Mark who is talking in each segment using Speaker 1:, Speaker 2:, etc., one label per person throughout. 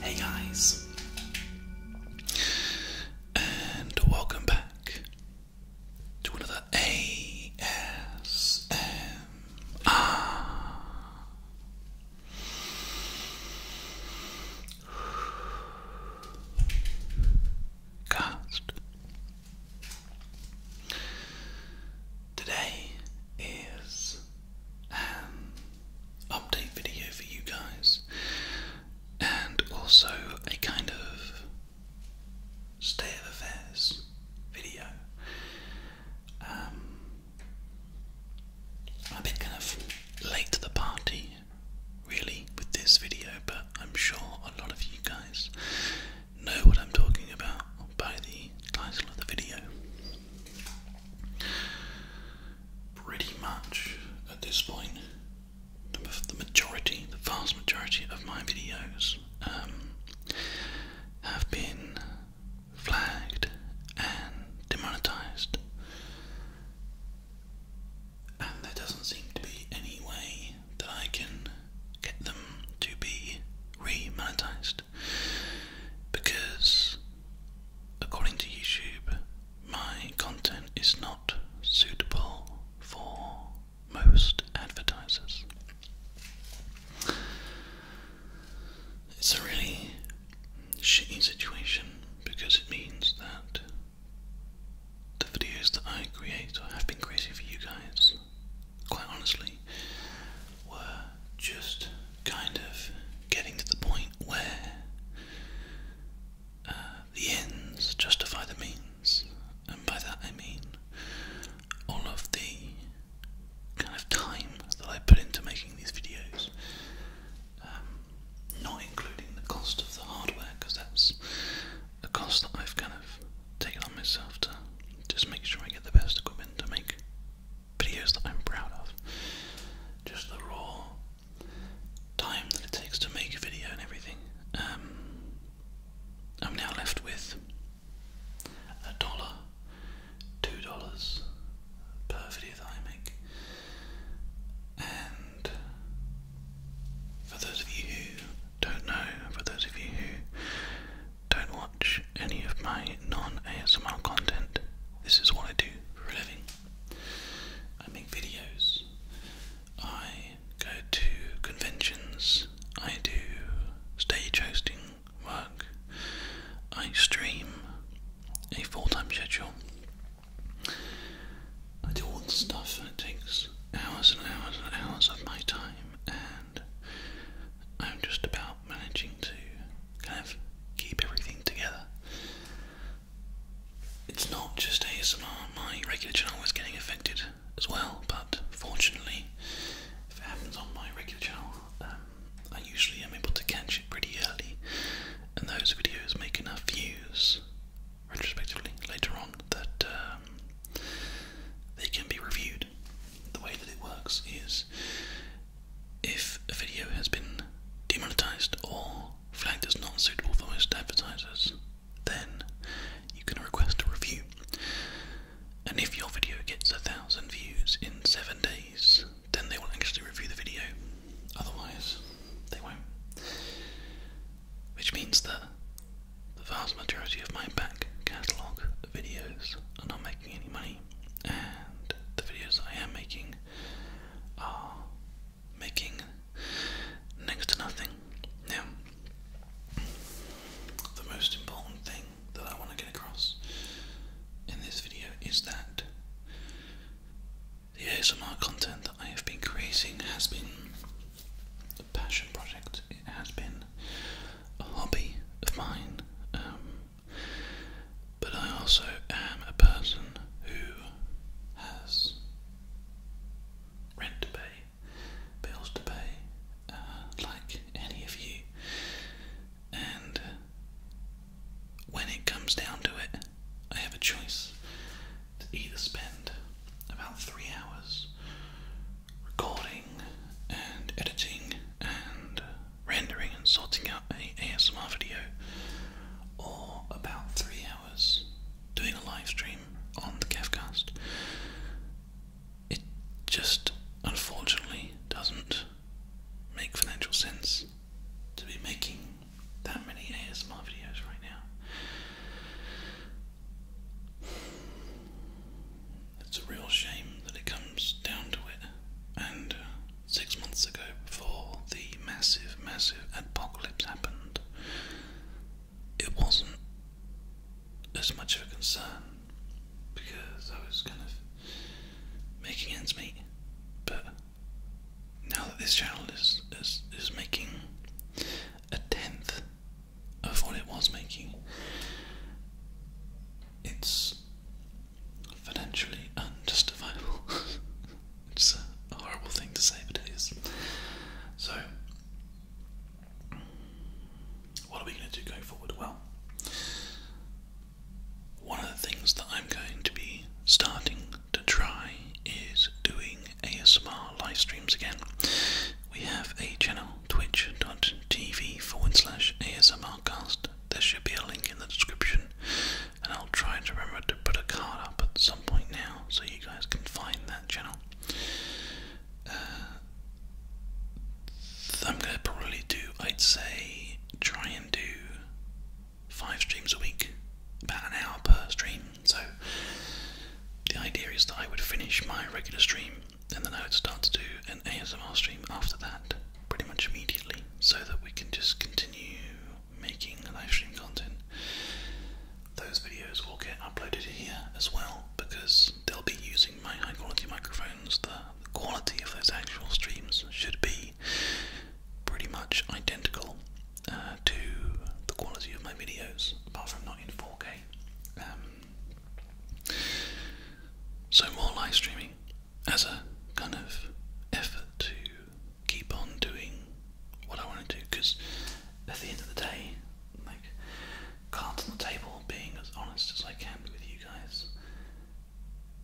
Speaker 1: Hey guys, and welcome back to another ASMR Cast. Today is an update video for you guys, and also a kind of state of affairs video. Um, I'm a bit kind of late to the party, really, with this video, but I'm sure a lot of you guys know what I'm talking about by the title of the video. Pretty much at this point, the majority, the vast majority of my videos um, have been flagged and demonetized. And there doesn't seem to be any way that I can get them to be re because, according to YouTube, my content is not suitable for most advertisers. It's a really shitty situation because it means that the videos that I create or have been creating for you guys, quite honestly, were just kind of getting to the point where uh, the ends justify the means, and by that I mean all of the kind of time that I put into making these videos, um, not including the cost of the hardware, because that's a cost that I've kind of taken on myself to just make sure I get the best equipment to make videos that I'm proud of. Just the raw time that it takes to make a video and everything. Um, I'm now left with a dollar two dollars per video that I make. And for those of you who don't know, for those of you who don't watch any of my non ASMR content, this is what I do for a living. I make videos, I go to conventions, I do stage hosting, work. I stream a full time schedule. I do all the stuff and it takes hours and hours and hours of my time and I'm just about managing to kind of keep everything together. It's not just ASMR, my regular channel is getting affected as well, but fortunately, if it happens on my regular channel, uh, I usually am able to catch it pretty early, and those videos make enough views, retrospectively, later on, that um, they can be reviewed. The way that it works is if a video has been demonetized or flagged as not suitable for most advertisers, then you can request a review. And if your video gets a thousand views in seven days, then they will actually review the video. Otherwise, they won't. Which means that the vast majority of my back catalogue videos are not making any money, and the videos I am making are making next to nothing. Yeah. the most important thing that I want to get across in this video is that the ASMR content that I have been creating has been a passion project, it has been a hobby of mine, um, but I also am a person who has rent to pay, bills to pay, uh, like any of you. And when it comes down to it, I have a choice to either spend about three hours recording and editing and rendering and sorting out a ASMR video, or about three hours doing a live stream on the Kevcast it just unfortunately doesn't make financial sense to be making that many ASMR videos right now. It's a real shame that it comes down to it. And uh, six months ago, before the massive, massive apocalypse happened, it wasn't as much of a concern because I was kind of making ends meet. But now that this channel is is, is making a tenth of what it was making, it's financially unjustifiable. It's a horrible thing to say, but it is. So what are we going to do going forward? Well, one of the things that I'm going to be starting to try is doing ASMR live streams again. We have a channel, Twitch TV forward slash ASMRcast. There should be a link in the description, and I'll try to remember to put a card up at some point now so you guys can find that channel. Uh, I'm gonna probably do, I'd say, try and do five streams a week, about an hour per stream. So the idea is that I would finish my regular stream and then I would start to do an ASMR stream after that, pretty much immediately, so that we can just continue making live stream content. Those videos will get uploaded here as well because they'll be using my high quality microphones, the, quality of those actual streams should be pretty much identical uh, to the quality of my videos, apart from not in 4K. Um, so, more live streaming as a kind of effort to keep on doing what I want to do because at the end of the day, like cards on the table, being as honest as I can with you guys.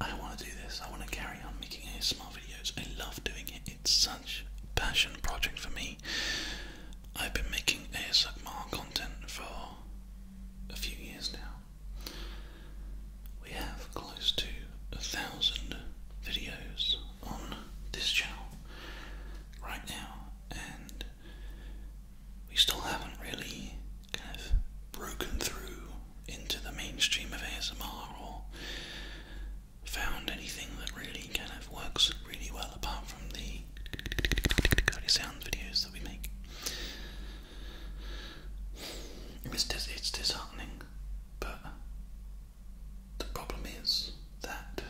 Speaker 1: I want to do this. I want to carry on making ASMR videos. I love doing it. It's such a passion project for me. I've been making ASMR content for a few years now. We have close to a thousand videos on this channel right now, and we still haven't really kind of broken through into the mainstream of ASMR or found anything that really kind of works really well apart from the sound videos that we make. It's, it's disheartening, but the problem is that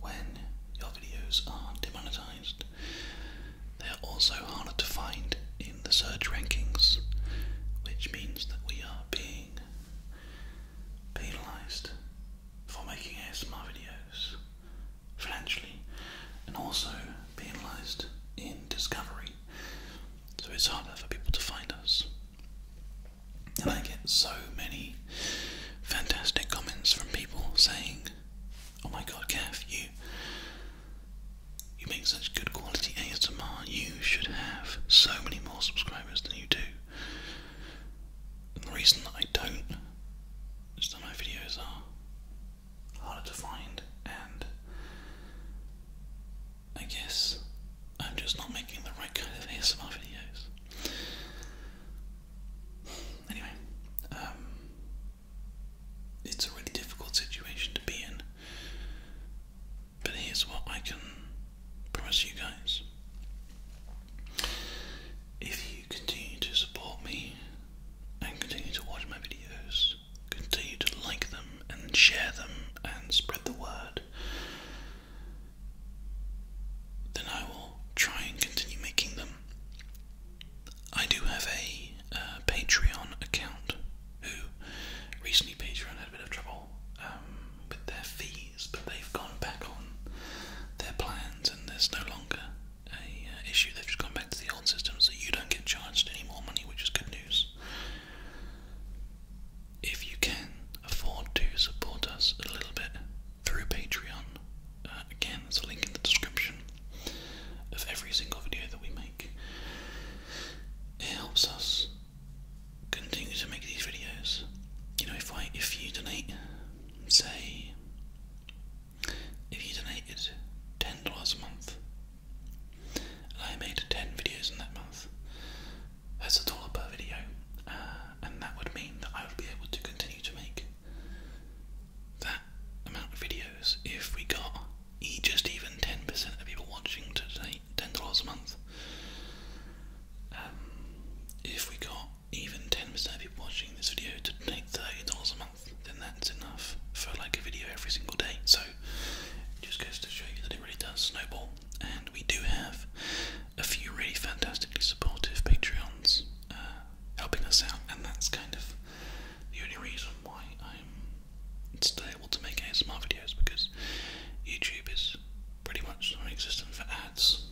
Speaker 1: when your videos are demonetized, they're also harder to find in the search rankings, which means that we are being penalised for making ASMR videos financially and also penalised in discovery. So it's harder for people to find us. And I get so many fantastic comments from people saying, Oh my god, Gav, you you make such good quality ASMR. You should have so many more subscribers than you do. the reason that I don't is that my videos are harder to find, and I guess I'm just not making the right kind of ASMR videos anyway, um, it's a really difficult situation to be in. But here's what I can promise you guys. If you continue to support me and continue to watch my videos, continue to like them and share them and spread the word, then I will try and continue making them. I do have a uh, Patreon account who recently Patreon had a bit of trouble um, with their fees, but they've gone back on their plans and there's no longer a uh, issue. They've just gone back to the old system, so you don't get charged any more money, which is good news. If you can afford to support us a little bit through Patreon, uh, again, there's a link in the description of every single video that we make. It helps us continue to make these videos. You know, if I if you donate, say, if you donated ten dollars a month, I made ten videos in that month, that's a dollar per video, uh, and that would mean that I would be able to continue to make that amount of videos if we got just even 10% of people watching today, $10 a month. Um, if we got even 10% of people watching this video to take $30 a month, then that's enough for like a video every single day. So just goes to show you that it really does snowball. And we do have a few really fantastically supportive Patreons uh, helping us out, and that's kind of the only reason why I'm still able to make ASMR videos because YouTube is pretty much non existent for ads.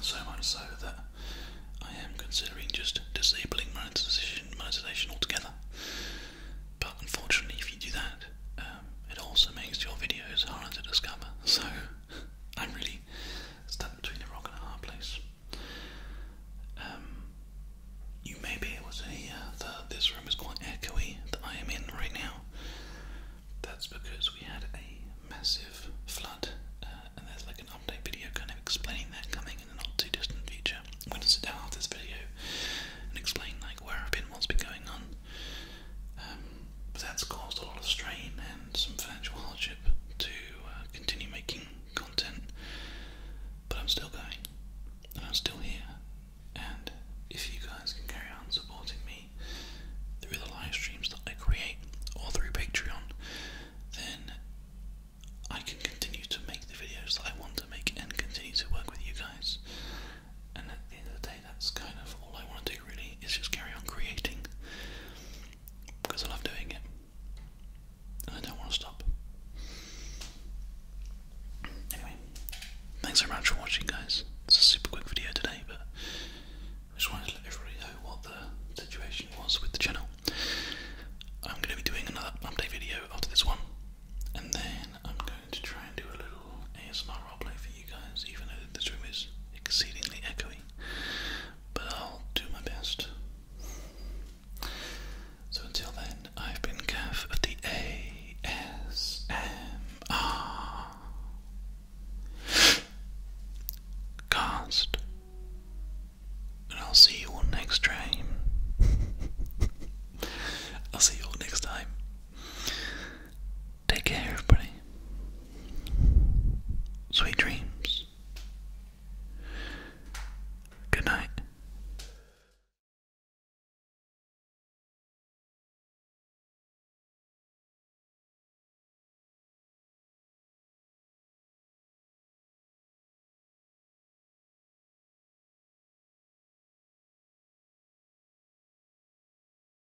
Speaker 1: So much so that I am considering just disabling monetization, altogether. But unfortunately, if you do that, um, it also makes your videos harder to discover. So I'm really stand between the rock and a hard place. Um, you may be able to this room is quite echoey that I am in right now. That's because we had a massive flood, uh, and there's like an update video kind of explaining that coming in the not too distant future. I'm going to sit down after this video and explain like where I've been, what's been going on. Um, but that's caused a lot of strain and some financial hardship to uh, continue making content. But I'm still going, and I'm still here. And if you guys can carry on supporting me through the live streams that I create or through Patreon, then I can continue to make the videos that I want to make and continue to work with you guys that's kind of all I want to do really is just carry on creating because I love doing it and I don't want to stop. Anyway, thanks very much for watching, guys. It's a super quick video today, but I just wanted to let everybody know what the situation was with the channel. I'm going to be doing another update video after this one, and then I'm going to try and do a little ASMR roleplay for you guys, even though this room is exceedingly echoey but I'll do my best. So until then, I've been Cav of the ASMR Cast, and I'll see you all next time. I'll see you all next time. Take care, everybody. Sweet dreams. Good night.